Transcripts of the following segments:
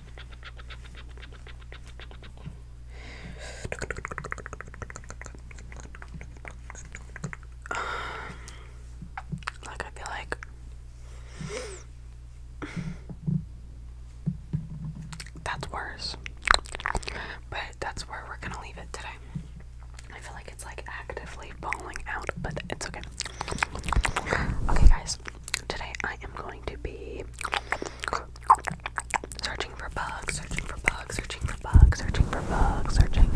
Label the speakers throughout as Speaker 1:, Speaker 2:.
Speaker 1: Um, I feel like that's worse, but that's where we're gonna leave it today. I feel like it's like actively falling out, but it's okay. Okay, guys, today I am going to be searching for bugs, searching for bugs, searching for bugs, searching for bugs, searching.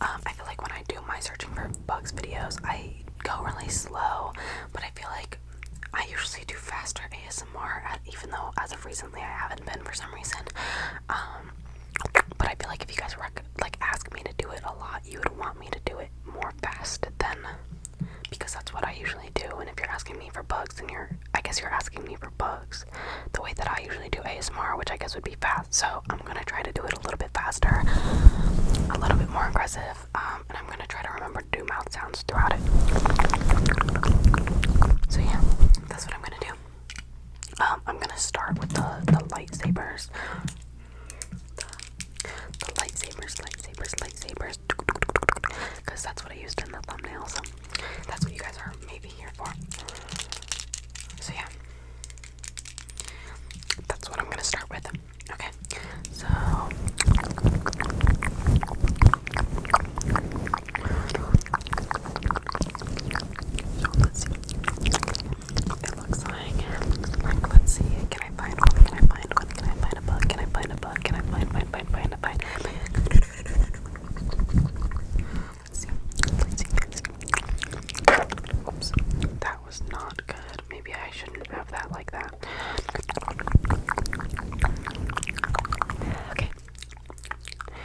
Speaker 1: Um, I feel like when I do my searching for bugs videos, I go really slow, but I feel like I usually do faster ASMR, uh, even though as of recently I haven't been for some reason. Um, but I feel like if you guys rec like ask me to do it a lot, you would want me to do it more fast than because that's what I usually do. And if you're asking me for bugs, and you're I guess you're asking me for bugs. The way that I usually do ASMR, which I guess would be fast. So I'm gonna try to do it a little bit faster, a little bit more aggressive, um, and I'm gonna try to remember to do mouth sounds throughout it. So yeah, that's what I'm gonna do. Um, I'm gonna start with the the lightsabers the, lightsabers, lightsabers, lightsabers, because that's what I used in the thumbnail, so that's what you guys are maybe here for. So, yeah, that's what I'm gonna start with. Okay, so it looks like, let's see, can I find one? Can I find one? Can I find a bug? Can I find a bug? Can I find, find, find, find a find? that was not good. Maybe I shouldn't have that like that. Okay. Okay.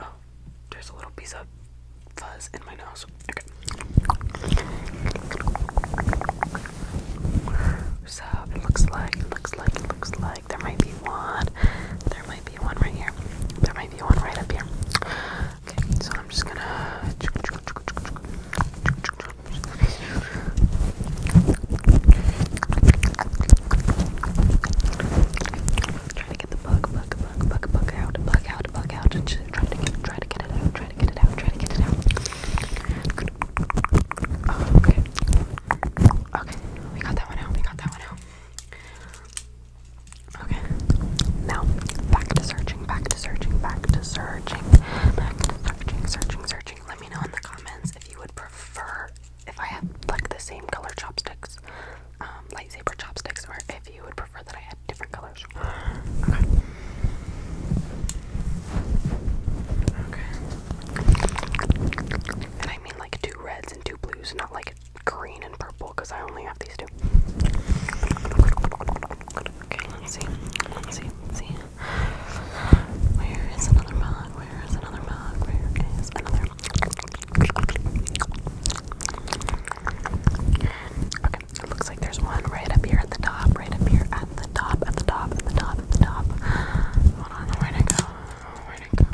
Speaker 1: Oh, there's a little piece of fuzz in my nose. So it looks like, looks like, looks like there might be one. There might be one right here. There might be one right up here. Okay, so I'm just gonna. Trying to get the to bug, bug, bug, bug, bug out, bug out, bug out, and just try to get, try to get it out, try to get it out, try to get it out. Oh, okay, okay, we got that one out, we got that one out. Okay, now back to searching, back to searching, back to searching, back to searching, searching, searching. Let me know in the comments if you would prefer if I have like the same color chopsticks um, lightsaber chopsticks, or if you would prefer that I had different colors. Okay. Okay. And I mean like two reds and two blues, not like green and purple, because I only have these two. Okay, let's see. Let's see. Let's see. Where is another mug? Where is another mug? Where is another? Okay, it looks like there's one right up here at the top, right up here at the top, at the top, at the top, at the top. Hold on, where'd I go? Where'd I go?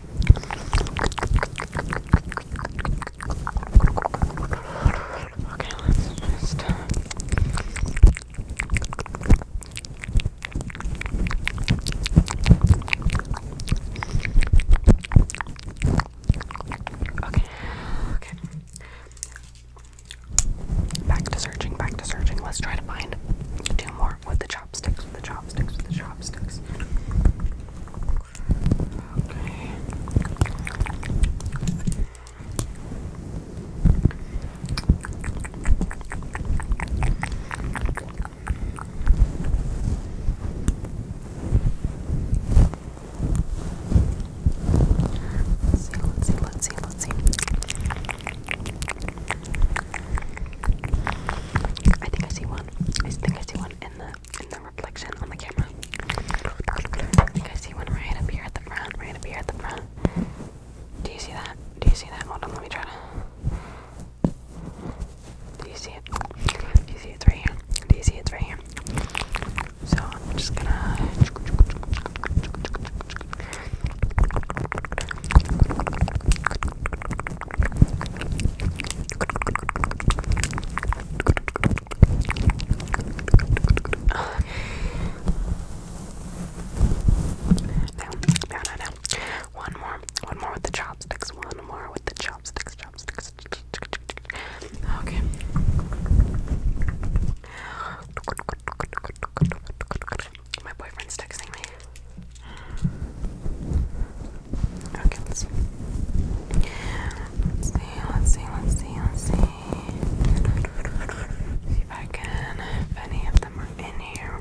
Speaker 1: Okay, let's just. Okay, okay. Back to searching, back to searching. Let's try to find two more with the chopsticks, with the chopsticks, with the chopsticks. Let's see, let's see, let's see, let's see. I think I see one. I think I see one in the in the reflection on the camera. I think I see one right up here at the front, right up here at the front. Do you see that? Do you see that? Hold on, let me try to do you see it? Do you see it's right here? Do you see it's right here? So I'm just gonna no, no, no, no. One more, one more with the chopsticks. One more with the chopsticks, chopsticks. Okay. My boyfriend's texting me. Okay, let's see. Let's see, let's see, let's see, let's see. See if I can, if any of them are in here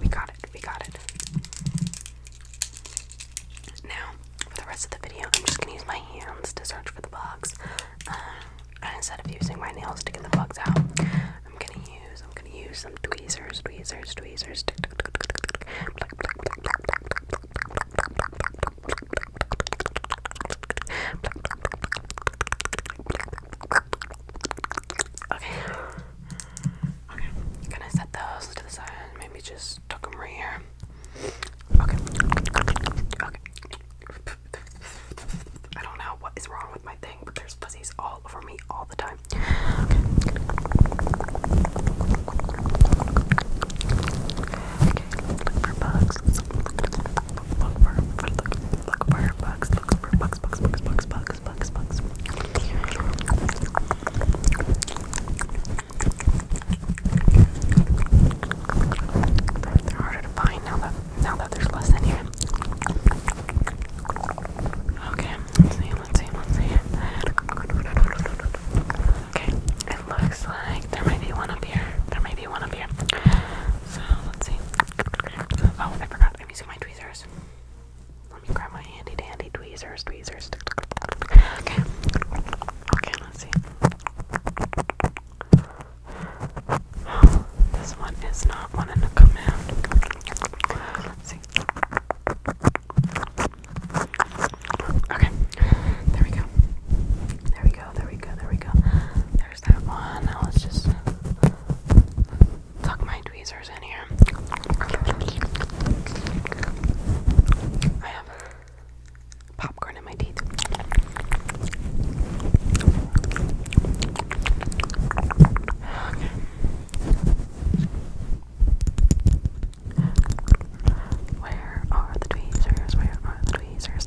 Speaker 1: we got it. We got it. Now, for the rest of the video, I'm just gonna use my hands to search for the bugs. Um, instead of using my nails to get the bugs out, I'm gonna use I'm gonna use some tweezers, tweezers, tweezers. Okay. Okay, can I set those to the side? Maybe just tuck them right here. Okay. Okay. I don't know what is wrong with my thing, but there's fuzzies all over me all the time. Okay. look for bugs. look for, look look for bugs. Look for bugs, bugs, bugs, bugs, bugs, bugs, bugs, they're harder to find now that now that there's less in here. Okay, let's see, let's see, let's see. Okay, it looks like there might be one up here. There might be one up here. So let's see. Oh, I forgot. I'm using my tweezers. Let me grab my handy dandy tweezers, tweezers. Okay. Okay, let's see. this one is not wanting to come out. Let's see. Okay. There we go. There we go. There we go. There we go. There's that one. let's just tuck my tweezers in here. I have popcorn in my teeth. Where are the tweezers? Where are the tweezers?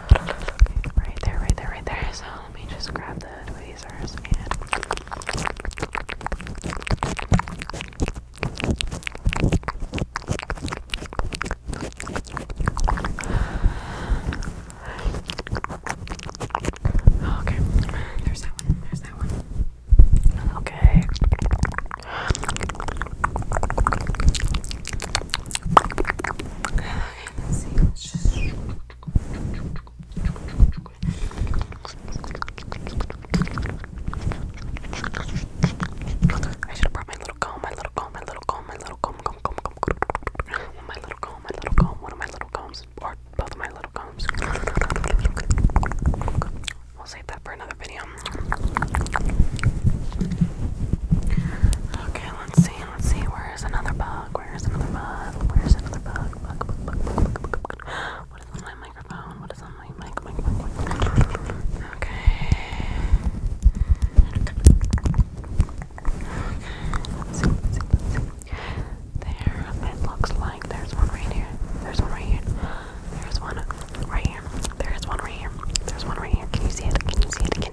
Speaker 1: Right there, right there, right there. So let me just grab the tweezers and Okay, there's that one, there's that one. Okay. I should have brought my little comb, my little comb, my little comb, my little comb, comb, comb, comb, comb. My little comb, my little comb, one of my little combs, or both of my little combs. We'll save that for another video. Okay, let's see. Let's see, where's another bug? Where's another bug? Where's another bug? Bug, bug, bug, bug, bug, bug, bug. What is on my microphone? What is on my mic? mic, mic, mic? Okay. Okay, let's see, let's see, let's see. There, it looks like there's one right here. There's one right here. There's one right here. There's one right here. There's one right here. Can you see it? Can you see it? Can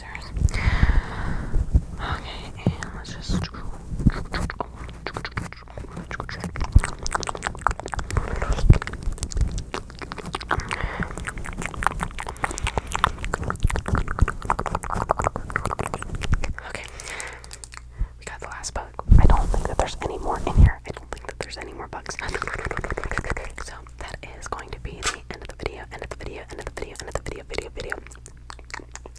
Speaker 1: Okay, let's just. Okay, we got the last bug. I don't think that there's any more in here. I don't think that there's any more bugs. So that is going to be the end of the video. End of the video. End of the video. End of the video. Video. Video.